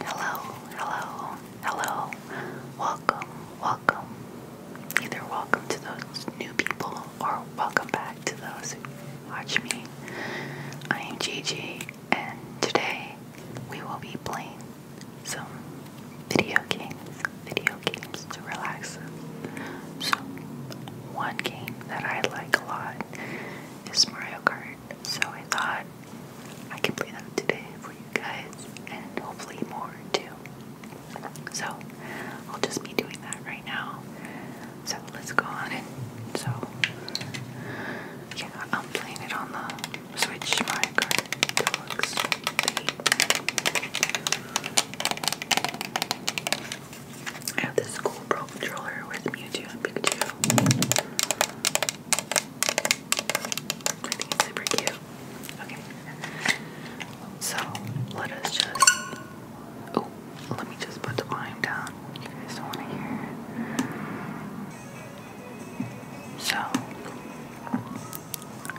Hello, hello, hello. Welcome, welcome, welcome. Either welcome to those new people or welcome back to those who watch me. I am Gigi, and today we will be playing some video games. Video games to relax So, one game that I like a lot is Mario Kart. So, I thought I can play that today for you guys, and hopefully more too. So I'll just be doing that right now. So let's go on it. So yeah, I'm playing it on the Switch Mario Kart I have this cool Pro controller with Mewtwo and Pikachu. I think it's super cute. Okay. So let us just. Oh, let me just put the volume down. You guys don't want to hear it. So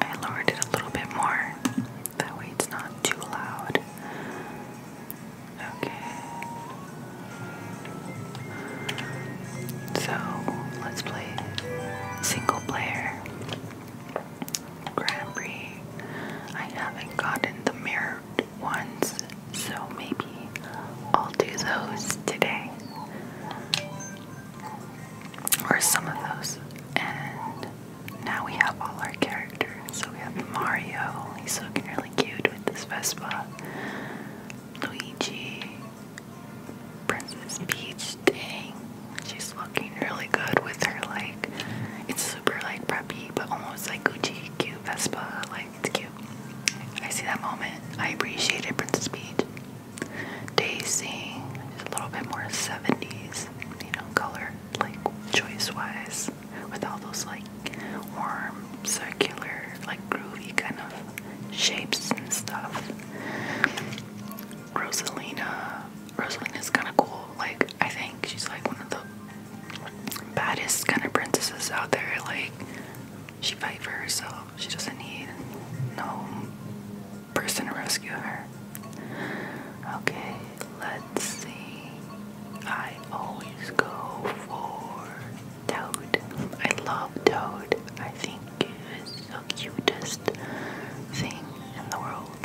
I lowered it a little bit more. That way it's not too loud. Okay. So let's play single player. Grand I haven't gotten the mirrored ones, so maybe I'll do those today. Or some of those. And now we have all our characters. So we have Mario, he's looking really cute with this Vespa. Luigi, Princess Peach, dang. She's looking really good with her like it's super like preppy but almost like Gucci cute Vespa, like it's cute. I see that moment. I appreciated Princess Peach. Daisy is a little bit more 70s, you know, color like choice wise with all those like warm, circular, like groovy kind of shapes and stuff. Rosalina. is kind of cool. Like, I think she's like one of the baddest kind of princesses out there. Like, she fights for herself. She doesn't need no person to rescue her. Okay, let's see. I always go for Toad. I love Toad. I think think is the cutest thing in the world.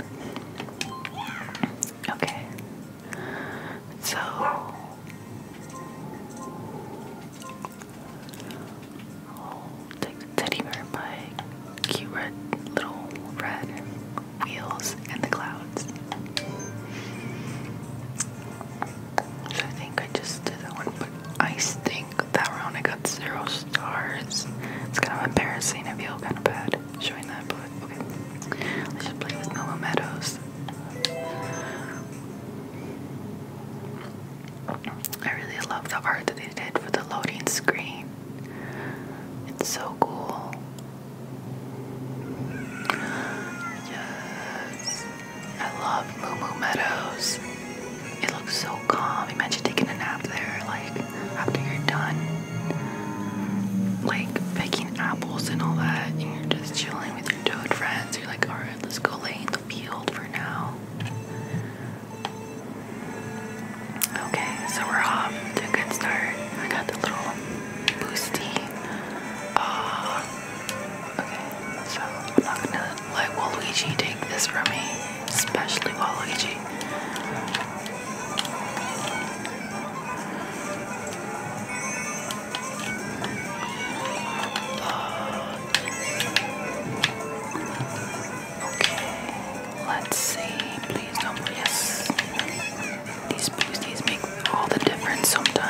Okay. So the teddy bear by cute red little red wheels in the clouds. So I think I just did that one, but I think that round I got zero stars. It's kind of embarrassing. I feel kind of bad showing that, but okay. Let's just play with Mellow Meadows. I really love the art that they did for the loading screen. It's so cool. Yes. I love Moo Meadows. It looks so calm. Imagine taking a nap there, like after you're done, like picking apples and all that, and you're just chilling with your toad friends. You're like, all right, let's go lay in the field for now. Okay, so we're off to a good start. I got the little boosty ah, Okay, so I'm not gonna let Waluigi take this from me, especially Waluigi. okay, let's see. Please don't. Yes, these boosties make all the difference sometimes.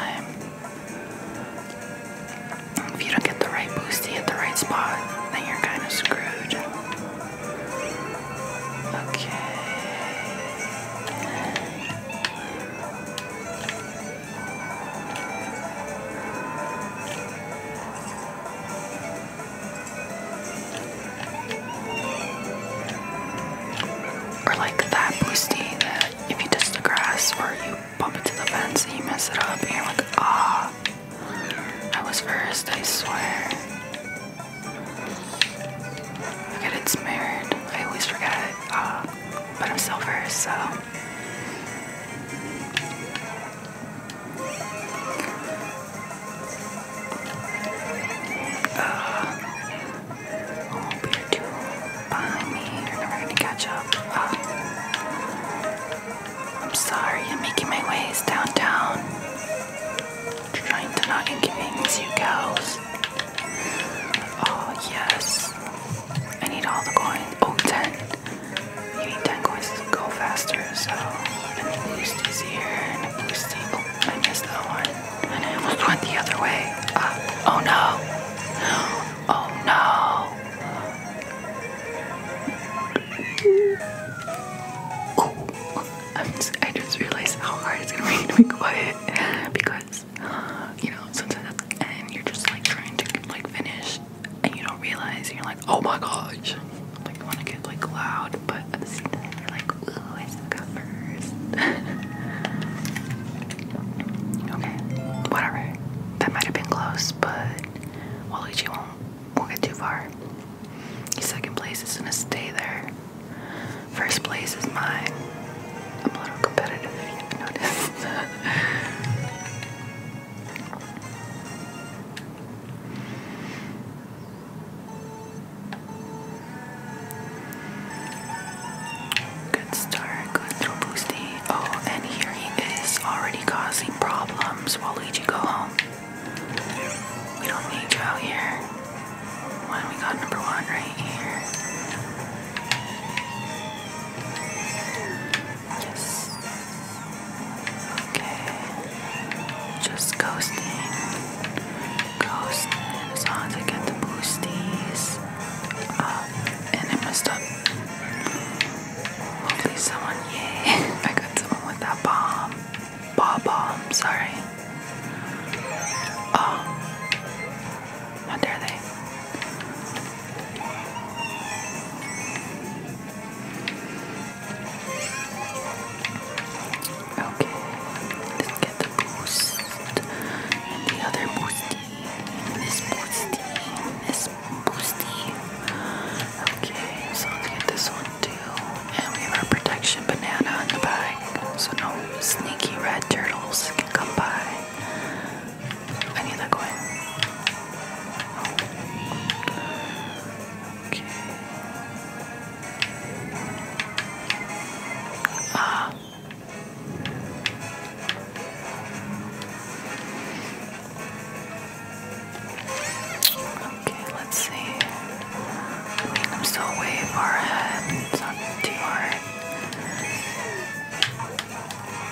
If you don't get the right boosty at the right spot, then you're kind of screwed. Okay. Or like that boosty that if you touch the grass or you bump to the fence and you mess it up and you're like, ah, I was first, I swear. Look at it's mirrored. I always forget it. Uh, but I'm still first, so. Uh, oh, beer too behind me. You're never gonna catch up. I'm sorry, I'm making my ways downtown. Trying to not inconvenience you cows. Oh, yes. I need all the coins. Oh ten, You need 10 coins to go faster, so. And the boost is here, and the boost is. Oh, I missed that one. And I almost went the other way. Ah, oh no. Oh no. i just, realized how hard it's gonna be to be quiet because you know sometimes and you're just like trying to like finish and you don't realize you're like oh my gosh like you want to get like loud but at the same time you're like ooh I still got Okay, whatever. That might have been close, but Waluigi won't, won't get too far. Second place is gonna stay there. First place is mine. I'm a little competitive if you haven't noticed. Good start, good throw boosty. Oh, and here he is already causing problems. Waluigi, go home. We don't need you out here. Why do we got number one right here? Yes. Okay. Just ghosting. Ghost as long get the boosties. Uh, and I messed up. Hopefully someone, I got someone with that bomb. Ball bomb, sorry. Oh, how dare they? Okay, let's get the boost and the other boosty. Sports Miss Boosty. Okay, so let's get this one too. And we have our protection banana in the bag. So no sneaky red turtles can come by. I need that coin. Okay. Ah, Okay, let's see. I mean, I'm still way far ahead. It's not too hard.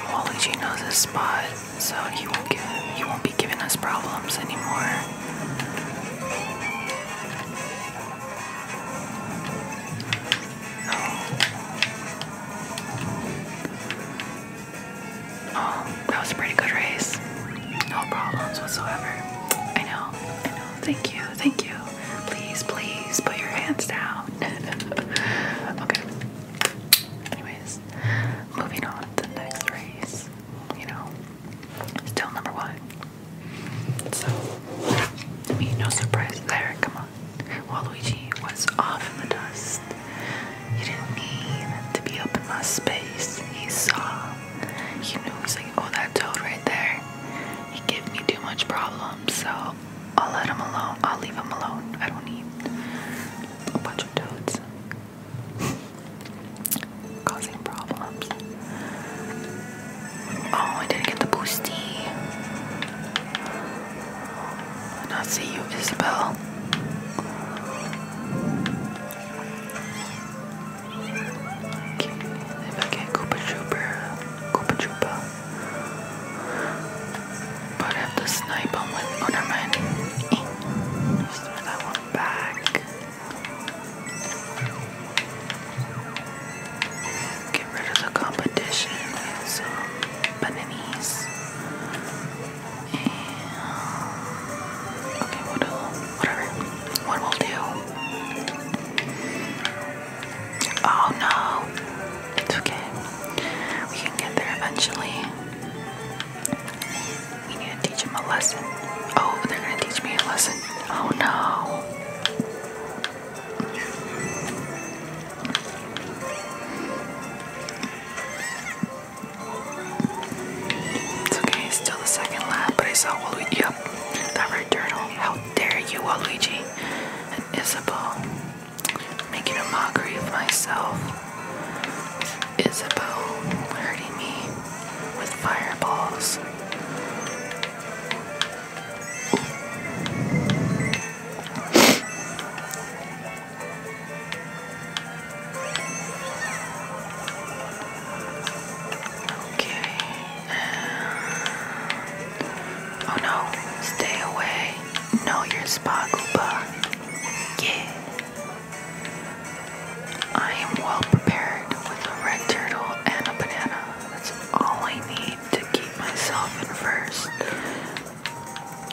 Waluigi knows his spot, so he won't he won't be giving us problems anymore. Oh, that was a pretty good race. No problems whatsoever. I know, I know. Thank you, thank you. Please, please put your hands down. okay. Anyways, moving on the next race. You know, still number one. So, I mean, no surprise there. Come on. Waluigi was off in the dust. He didn't need to be up in my space. He saw. He knew. He's like, oh, that toad right there. He gave me too much problems, so I'll let him alone. I'll leave him alone. I don't need a bunch of toads causing problems. Oh, I didn't get the boosty. And I'll see you, Isabel. Okay, if I get Koopa Trooper, Koopa Troopa. But I have to snipe him eh. Just throw that one back. Get rid of the competition with bananas. okay, Whatever. What we'll do? Oh no, it's okay. We can get there eventually. We need to teach him a lesson. Oh, they're gonna teach me a lesson. Oh no. It's okay, still the second lap, but I saw Waluigi. Yep, that red turtle. How dare you, Waluigi and Isabel, making a mockery of myself. Isabel hurting me with fireballs. Okay. Oh no, stay away. Know your spot, Gooba. Yeah. I am well prepared with a red turtle and a banana. That's all I need to keep myself in first.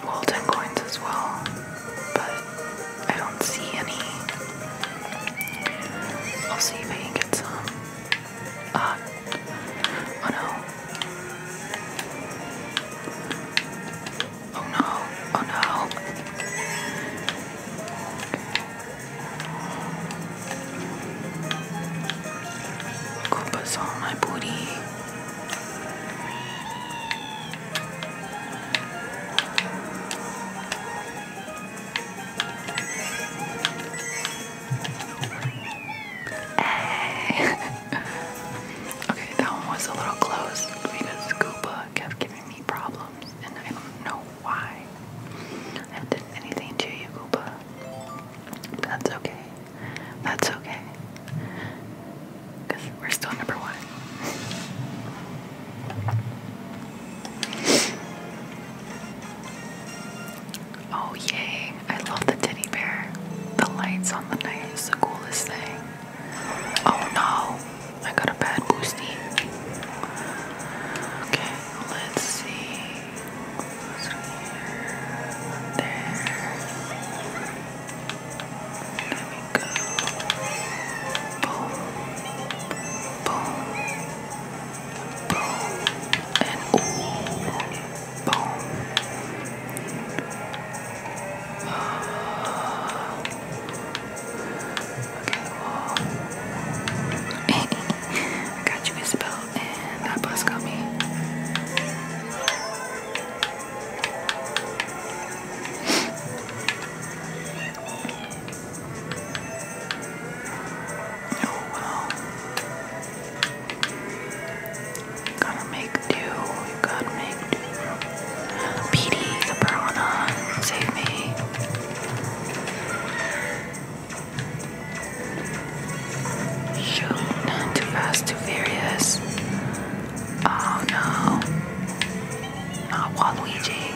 Well, coins as well, but I don't see any. I'll see if I can get some. Ah. oh no. Oh no. Oh no. Koopa's all my booty. Hey. okay, that one was a little close because Koopa kept me problems and I don't know why I did anything to you, Koopa. That's okay. That's okay. Because we're still number one. Oh, yay. I love the teddy bear. The lights on the night is the coolest thing. Oh no, I got a bad boosty. Okay, let's see. Goes here, there. There we go. Boom, boom, boom, and ooh, boom. Uh, I got you a spell and that bus got me. Oh wow. gotta make do. You gotta make do. PD, the piranha, save me too fast, too furious. Oh no. Not Waluigi.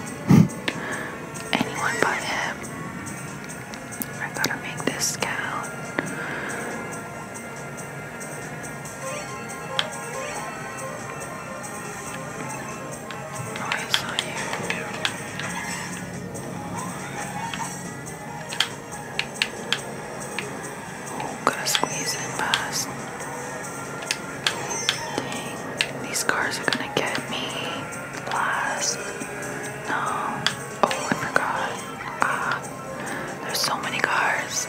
Anyone but him. I gotta make this count. Oh, to squeeze in past. Dang, these cars are gonna get me last. No. Oh, I forgot. Ah, there's so many cars.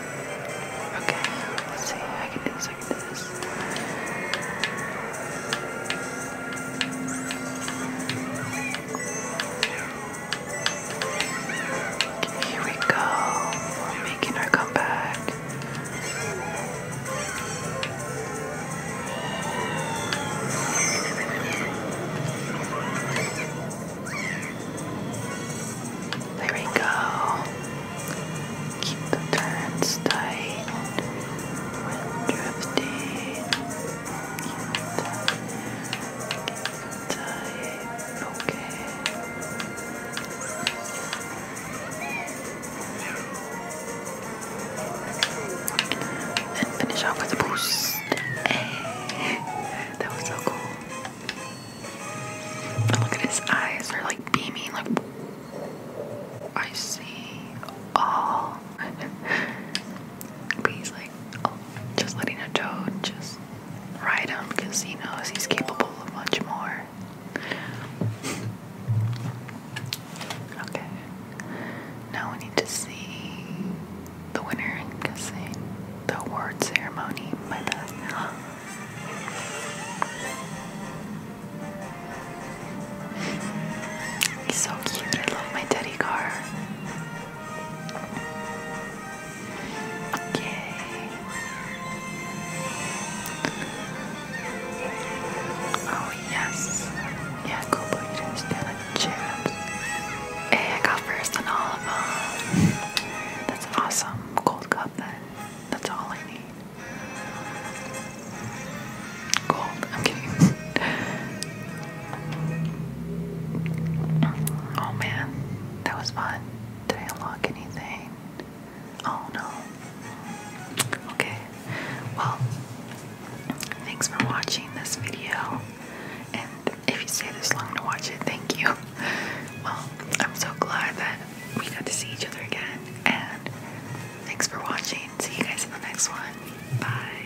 Okay, see. I can here we go. We're making our comeback. There we go. Keep the turns tight when drifting. Keep it tight. tight. Okay. And finish off with a boost. That was so cool. But look at his eyes, they're like beaming, like I see all. but he's like, oh, just letting a toad just ride him because he knows he's capable of much more. okay, now we need to see the winner in the award ceremony. He's so cute. I love my teddy car. Okay. Oh yes. Yeah, cool, but you didn't stand a chance. Hey, I got first on all of them. That's awesome. Cold cup then. That's all I need. Gold. I'm kidding. oh man, that was fun. Did I unlock anything? Oh no. Okay. Well, thanks for watching this video. And if you stay this long to watch it, thank you. Well, I'm so glad that we got to see each other again. And thanks for watching. See you guys in the next one. Bye.